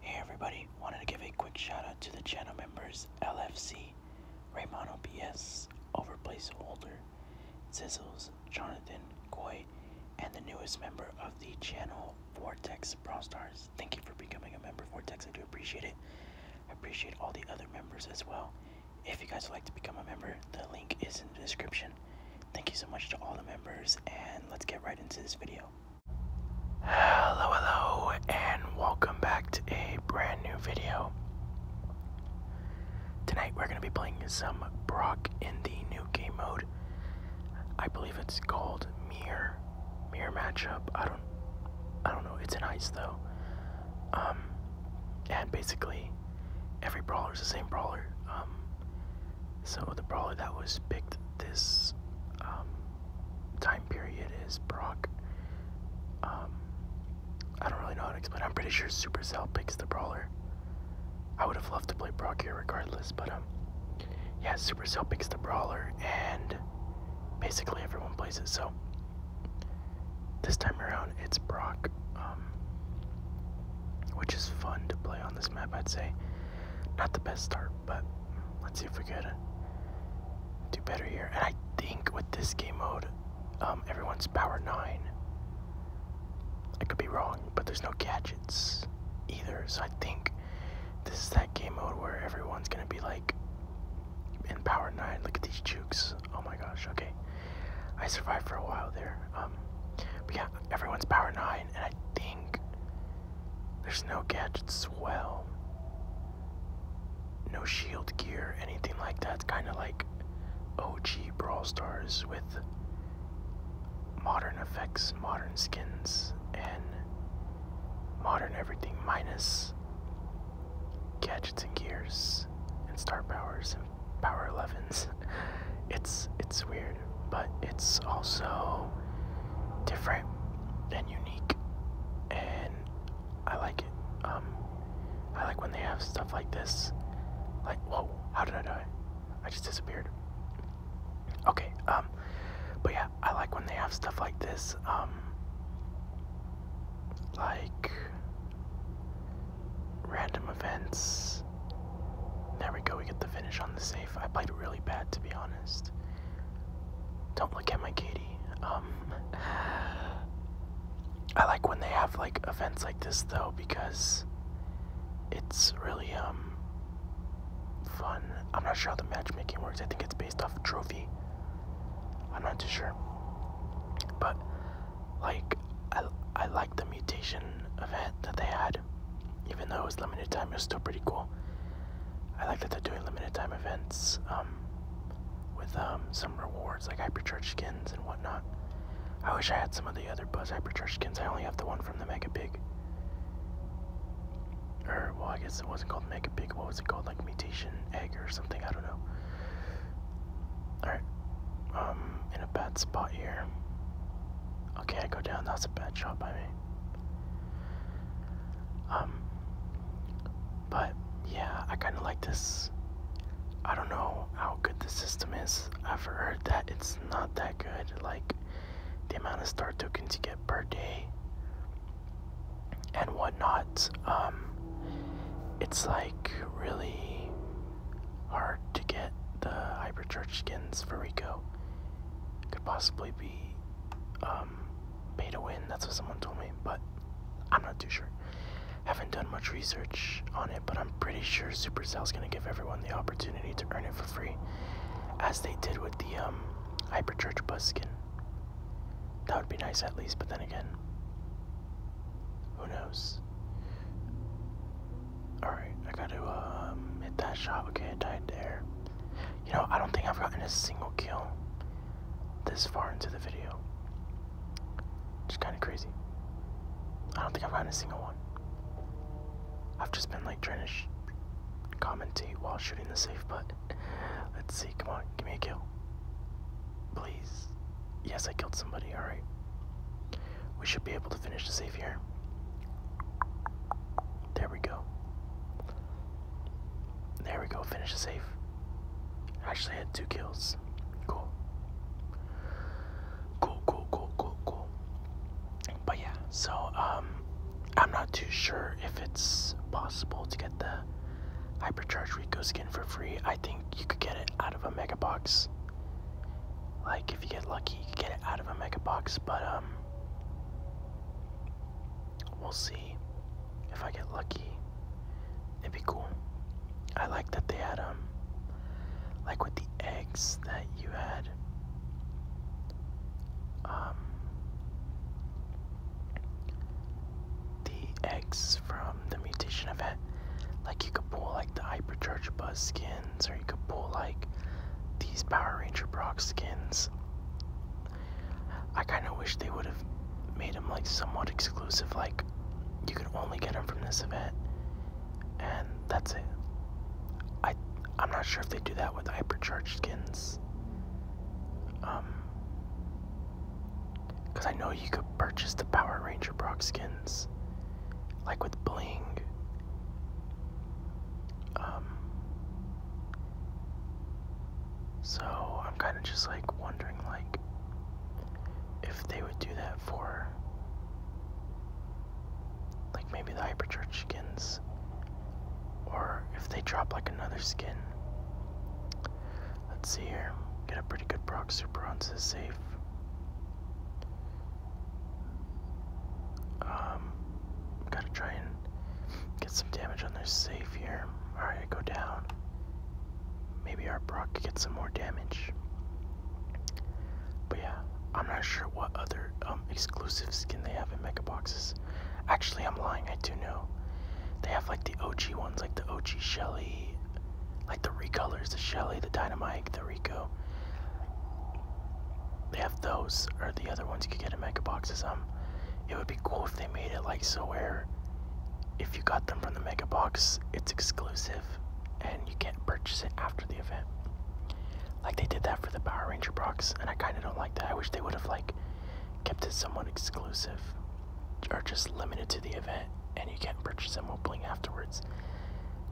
Hey everybody, wanted to give a quick shout out to the channel members LFC, Raymond, PS, Overplace Holder, Sizzles, Jonathan, Koi, and the newest member of the channel, Vortex Brawl Stars. Thank you for becoming a member, Vortex. I do appreciate it. I appreciate all the other members as well. If you guys would like to become a member, the link is in the description. Thank you so much to all the members, and let's get right into this video. Hello, hello, and welcome back to a brand new video. Tonight we're going to be playing some Brock in the new game mode. I believe it's called Mirror. Mirror matchup. I don't I don't know. It's an ice though. Um, and basically every brawler is the same brawler. Um, so the brawler that was picked this um, time period is Brock. Um, I don't really know how to explain. I'm pretty sure Supercell picks the brawler. I would have loved to play Brock here regardless, but um, yeah, Supercell picks the brawler, and basically everyone plays it. So this time around, it's Brock, um, which is fun to play on this map. I'd say not the best start but let's see if we can do better here. And I think with this game mode, um, everyone's power 9. I could be wrong, but there's no gadgets either, so I think this is that game mode where everyone's gonna be like in power 9. Look at these jukes. Oh my gosh, okay. I survived for a while there. Um, but yeah, everyone's power 9, and I think there's no gadgets as well. No shield gear, anything like that. kind of like OG Brawl Stars with modern effects, modern skins, and modern everything minus gadgets and gears and star powers and power 11s. It's it's weird, but it's also different and unique, and I like it. Um, I like when they have stuff like this. Like, whoa, how did I die? I just disappeared. Okay, um, but yeah, I like when they have stuff like this. Um, like random events. There we go, we get the finish on the safe. I played really bad to be honest. Don't look at my kitty. Um, I like when they have like events like this though because it's really um fun. I'm not sure how the matchmaking works. I think it's based off trophy. I'm not too sure. But like I I like the mutation event that they had even though it was limited time, it was still pretty cool. I like that they're doing limited time events um, with um, some rewards like hypercharge skins and whatnot. I wish I had some of the other Buzz hypercharge skins. I only have the one from the Mega Pig. Or well, I guess it wasn't called Mega Pig. What was it called? Like Mutation Egg or something? I don't know. All right, um, in a bad spot here. Okay, I go down. That's a bad shot by me. Um, but yeah, I kind of like this. I don't know how good the system is. I've heard that it's not that good. Like the amount of star tokens you get per day and whatnot. Um, it's like really hard to get the hyperchurch skins for Rico. Could possibly be um, um, to win. That's what someone told me, but I'm not too sure. Haven't done much research on it, but I'm pretty sure Supercell is gonna give everyone the opportunity to earn it for free, as they did with the um, Hyperchurch bus skin. That would be nice at least, but then again, who knows? Alright, I gotta um, hit that shot. Okay, I there. You know, I don't think I've gotten a single kill this far into the video. It's kind of crazy. I don't think I've gotten a single one. I've just been like trying to commentate while shooting the safe, but let's see. Come on, give me a kill. Please. Yes, I killed somebody. Alright. We should be able to finish the safe here. There we go. There we go, finish the save. Actually had two kills. Cool. Cool, cool, cool, cool, cool. But yeah, so um I'm not too sure if it's possible to get the hypercharge Rico skin for free. I think you could get it out of a mega box. Like if you get lucky you could get it out of a mega box, but um We'll see if I get lucky. It'd be cool. I like that they had, um, like with the eggs that you had, um, the eggs from the mutation event. Like, you could pull, like, the Hypercharge Buzz skins, or you could pull, like, these Power Ranger Brock skins. I kind of wish they would have made them like somewhat exclusive, like you could only get them from this event, and that's it. I I'm not sure if they do that with hypercharged skins. Um, because I know you could purchase the Power Ranger Brock skins, like with bling. Um, so I'm kind of just like wondering like if they would do that for like maybe the hyper church skins or if they drop like another skin. Let's see here. Get a pretty good Brock super on safe. Um Gotta try and get some damage on their safe here. Alright, I go down. Maybe our Brock gets some more damage. But yeah, I'm not sure what other um, exclusive skin they have in Mega Boxes. Actually, I'm lying, I do know. They have like the OG ones, like the OG Shelly, like the recolors, the Shelly, the Dynamite, the Rico. They have those, or the other ones you could get in Mega Boxes. Um, it would be cool if they made it like so where if you got them from the mega box it's exclusive and you can't purchase it after the event like they did that for the power ranger box and i kind of don't like that i wish they would have like kept it somewhat exclusive or just limited to the event and you can't purchase them while playing afterwards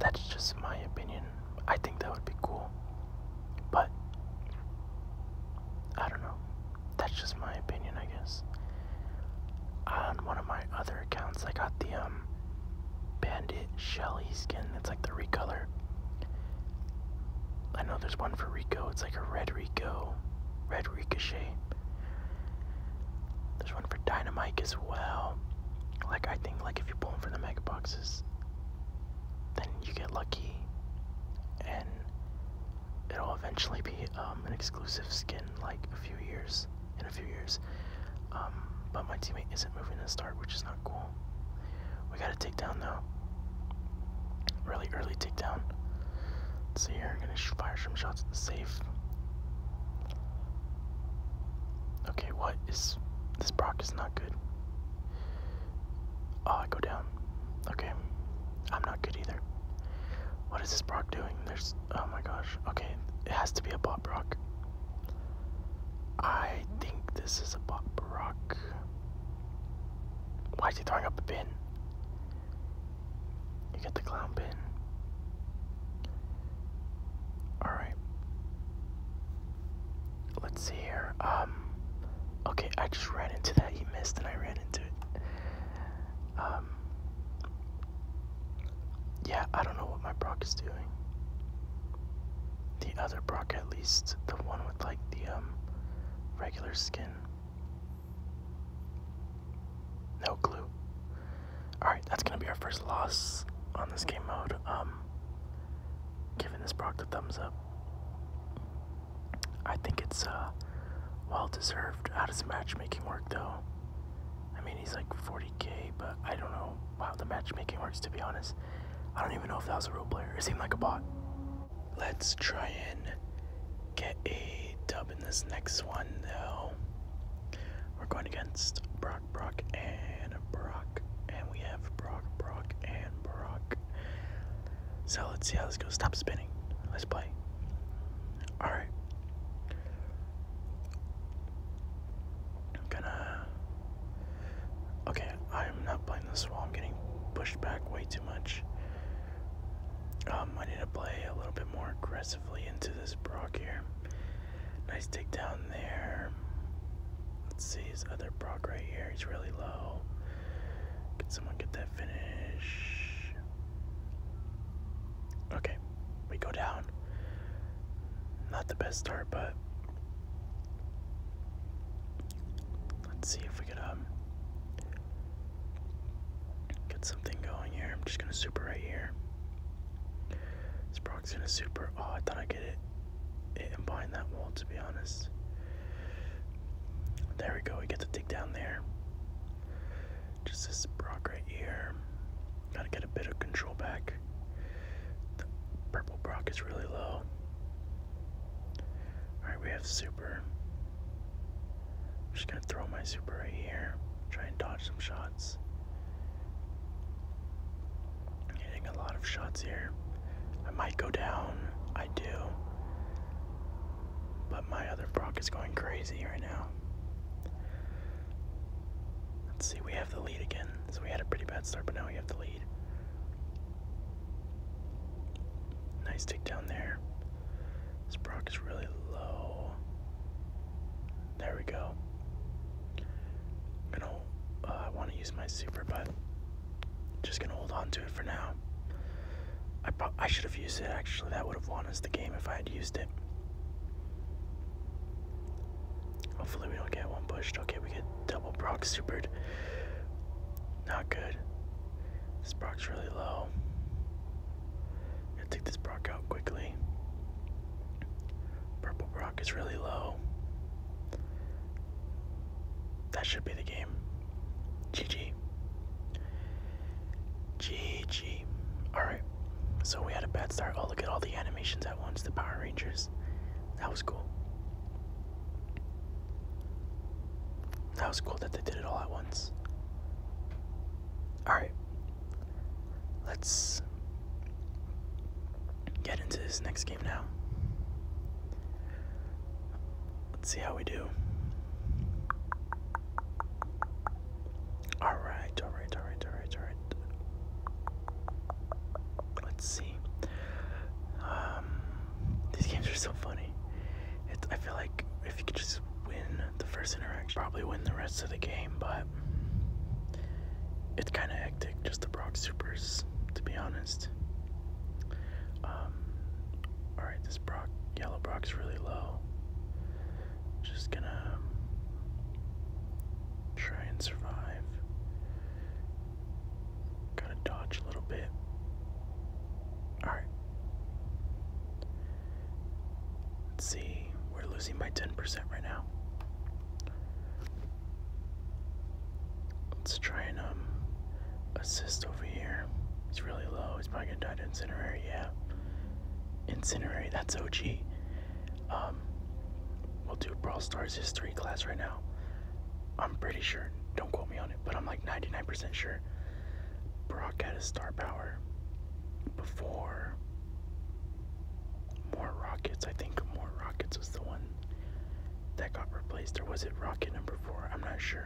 that's just my opinion i think that would be cool but I don't know. That's just my opinion, I guess. On one of my other accounts, I got the um Bandit Shelly skin. That's like the recolor. I know there's one for Rico. It's like a red Rico, red Ricochet. There's one for Dynamite as well. Like I think, like if you pull them from the mega boxes, then you get lucky, and it'll eventually be um, an exclusive skin like a few years in a few years. Um, but my teammate isn't moving to start, which is not cool. We got a takedown though. Really early takedown. Let's see here. I'm gonna fire some shots at the safe. Okay, what is this? Brock is not good. Oh, I go down. Okay. I'm not good either. What is this Brock doing? There's. Oh my gosh. Okay. It has to be a Bob Brock. I think this is a Bob Brock. Why is he throwing up a pin? You get the clown pin. Alright. Let's see here. Um. Okay, I just ran into that. He missed, and I ran into it. Um, yeah, I don't know what my Brock is doing. The other Brock, at least, the one with like the um regular skin. No clue. Alright, that's gonna be our first loss on this game mode. Um giving this Brock the thumbs up. I think it's uh, well deserved. How does matchmaking work though? I mean, he's like 40k, but I don't know how the matchmaking works to be honest. I don't even know if that was a real player. It seemed like a bot. Let's try and get a dub in this next one though. We're going against Brock, Brock, and Brock, and we have Brock, Brock, and Brock. So let's see how this goes. Stop spinning. Let's play. Alright. I'm gonna. Okay, I'm not playing this wall. I'm getting pushed back way too much. Um, I need to play a little bit more aggressively into this Brock here. Nice take down there. Let's see his other Brock right here. He's really low. Could someone get that finish? Okay, we go down. Not the best start, but let's see if we can um get something going here. I'm just gonna super right here. Sprock's gonna super. Oh, I thought I get it. It behind that wall, to be honest. There we go, we get to dig down there. Just this rock right here. Gotta get a bit of control back. The purple brock is really low. Alright, we have super. I'm just gonna throw my super right here. Try and dodge some shots. Hitting a lot of shots here. I might go down. I do. But my other Brock is going crazy right now. Let's see, we have the lead again. So we had a pretty bad start, but now we have the lead. Nice take down there. This Brock is really low. There we go. I'm gonna, uh, I want to use my super, but just gonna hold on to it for now. I I should have used it actually. That would have won us the game if I had used it. Hopefully we don't get one pushed. Okay, we get double Brock supered. Not good. This Brock's really low. Gotta take this Brock out quickly. Purple Brock is really low. That should be the game. GG. GG. Alright. So we had a bad start. Oh, look at all the animations at once. The Power Rangers. That was cool. That was cool that they did it all at once. Alright. Let's get into this next game now. Let's see how we do. All right, all right, all right, all right, all right. Let's see. Um, these games are so funny. It's, I feel like if you could just win the first interaction, probably win the rest of the game, but it's kind of hectic just to Brock Supers, to be honest. Um, all right, yellow Brock's really low. Just gonna um, try and survive. Gotta dodge a little bit. Alright. Let's see, we're losing by 10% right now. Let's try and um assist over here. It's really low. It's probably gonna die to Incinerary. Yeah, Incinerary. That's OG. Um, we'll do Brawl Stars history class right now. I'm pretty sure. Don't quote me on it, but I'm like 99% sure. Brock had his star power before more rockets. I think more rockets was the one that got replaced, or was it rocket number four? I'm not sure.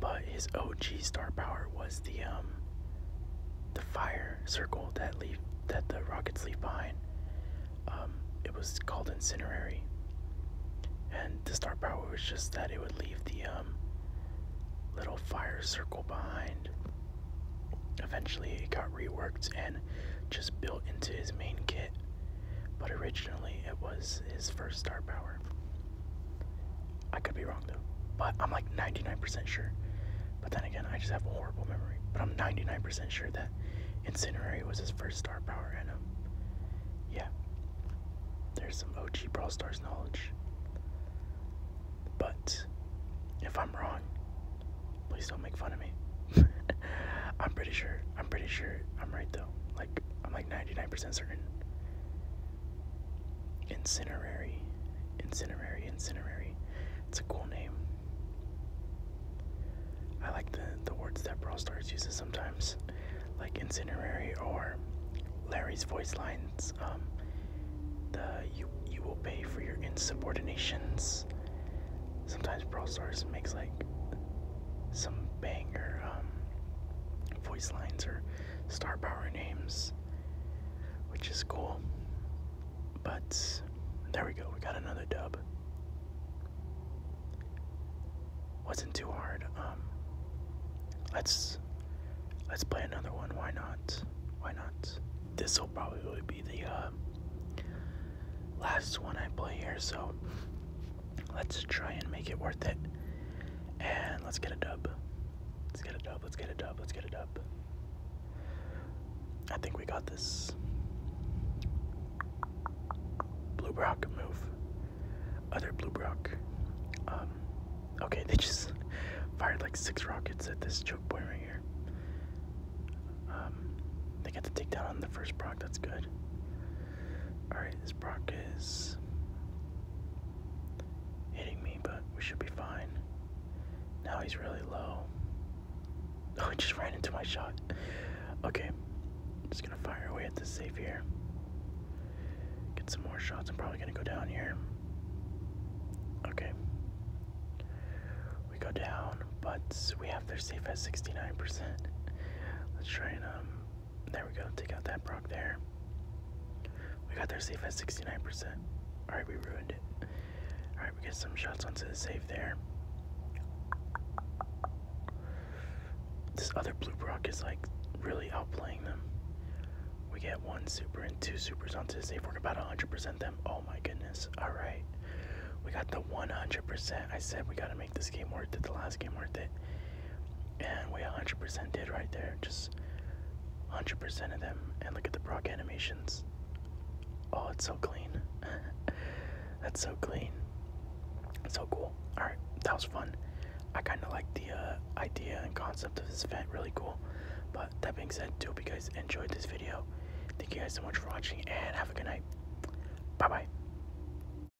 But his OG star power was the um the fire circle that leave that the Rockets leave behind. Um, it was called Incinerary, and the star power was just that it would leave the um little fire circle behind. Eventually, it got reworked and just built into his main kit. But originally, it was his first star power. I could be wrong though, but I'm like 99% sure. But then again, I just have a horrible memory. But I'm 99% sure that Incinerary was his first star power, and um, yeah, there's some OG Brawl Stars knowledge. But if I'm wrong, please don't make fun of me. I'm pretty sure. I'm pretty sure I'm right though. Like I'm like 99% certain. Incinerary, incinerary, incinerary. It's a cool name. I like the the words that Brawl Stars uses sometimes, like incinerary or Larry's voice lines. Um, the you you will pay for your insubordinations. Sometimes Brawl Stars makes like some banger um, voice lines or star power names, which is cool. But there we go, we got another dub. Wasn't too hard. Um, let's let's play another one. Why not? Why not? This will probably be the uh, last one I play here, so Let's try and make it worth it. And let's get a dub. Let's get a dub. Let's get a dub. Let's get a dub. I think we got this. Blue Brock move. Other Blue Brock. Um, okay, they just fired like six rockets at this choke point right here. Um, they got the takedown on the first proc. That's good. Alright, this Brock is hitting me, but we should be fine. Now he's really low. Oh, he just ran into my shot. Okay, just gonna fire away at this safe here. Get some more shots. I'm probably gonna go down here. Okay. We go down, but we have their safe at 69%. Let's try and um, there we go. Take out that Brock there. We got their safe at 69%. Alright, we ruined it. Alright, we get some shots onto the safe there. This other blue Brock is like really outplaying them. We get one super and two supers onto the safe. We're about 100% them. Oh my goodness. Alright. We got the 100%. I said we gotta make this game worth it, the last game worth it. And we 100% did right there. Just 100% of them. And look at the Brock animations. Oh, it's so clean. That's so clean. So cool. Alright, that was fun. I kind of like the uh, idea and concept of this event. Really cool. But that being said, I hope you guys enjoyed this video. Thank you guys so much for watching and have a good night. Bye bye.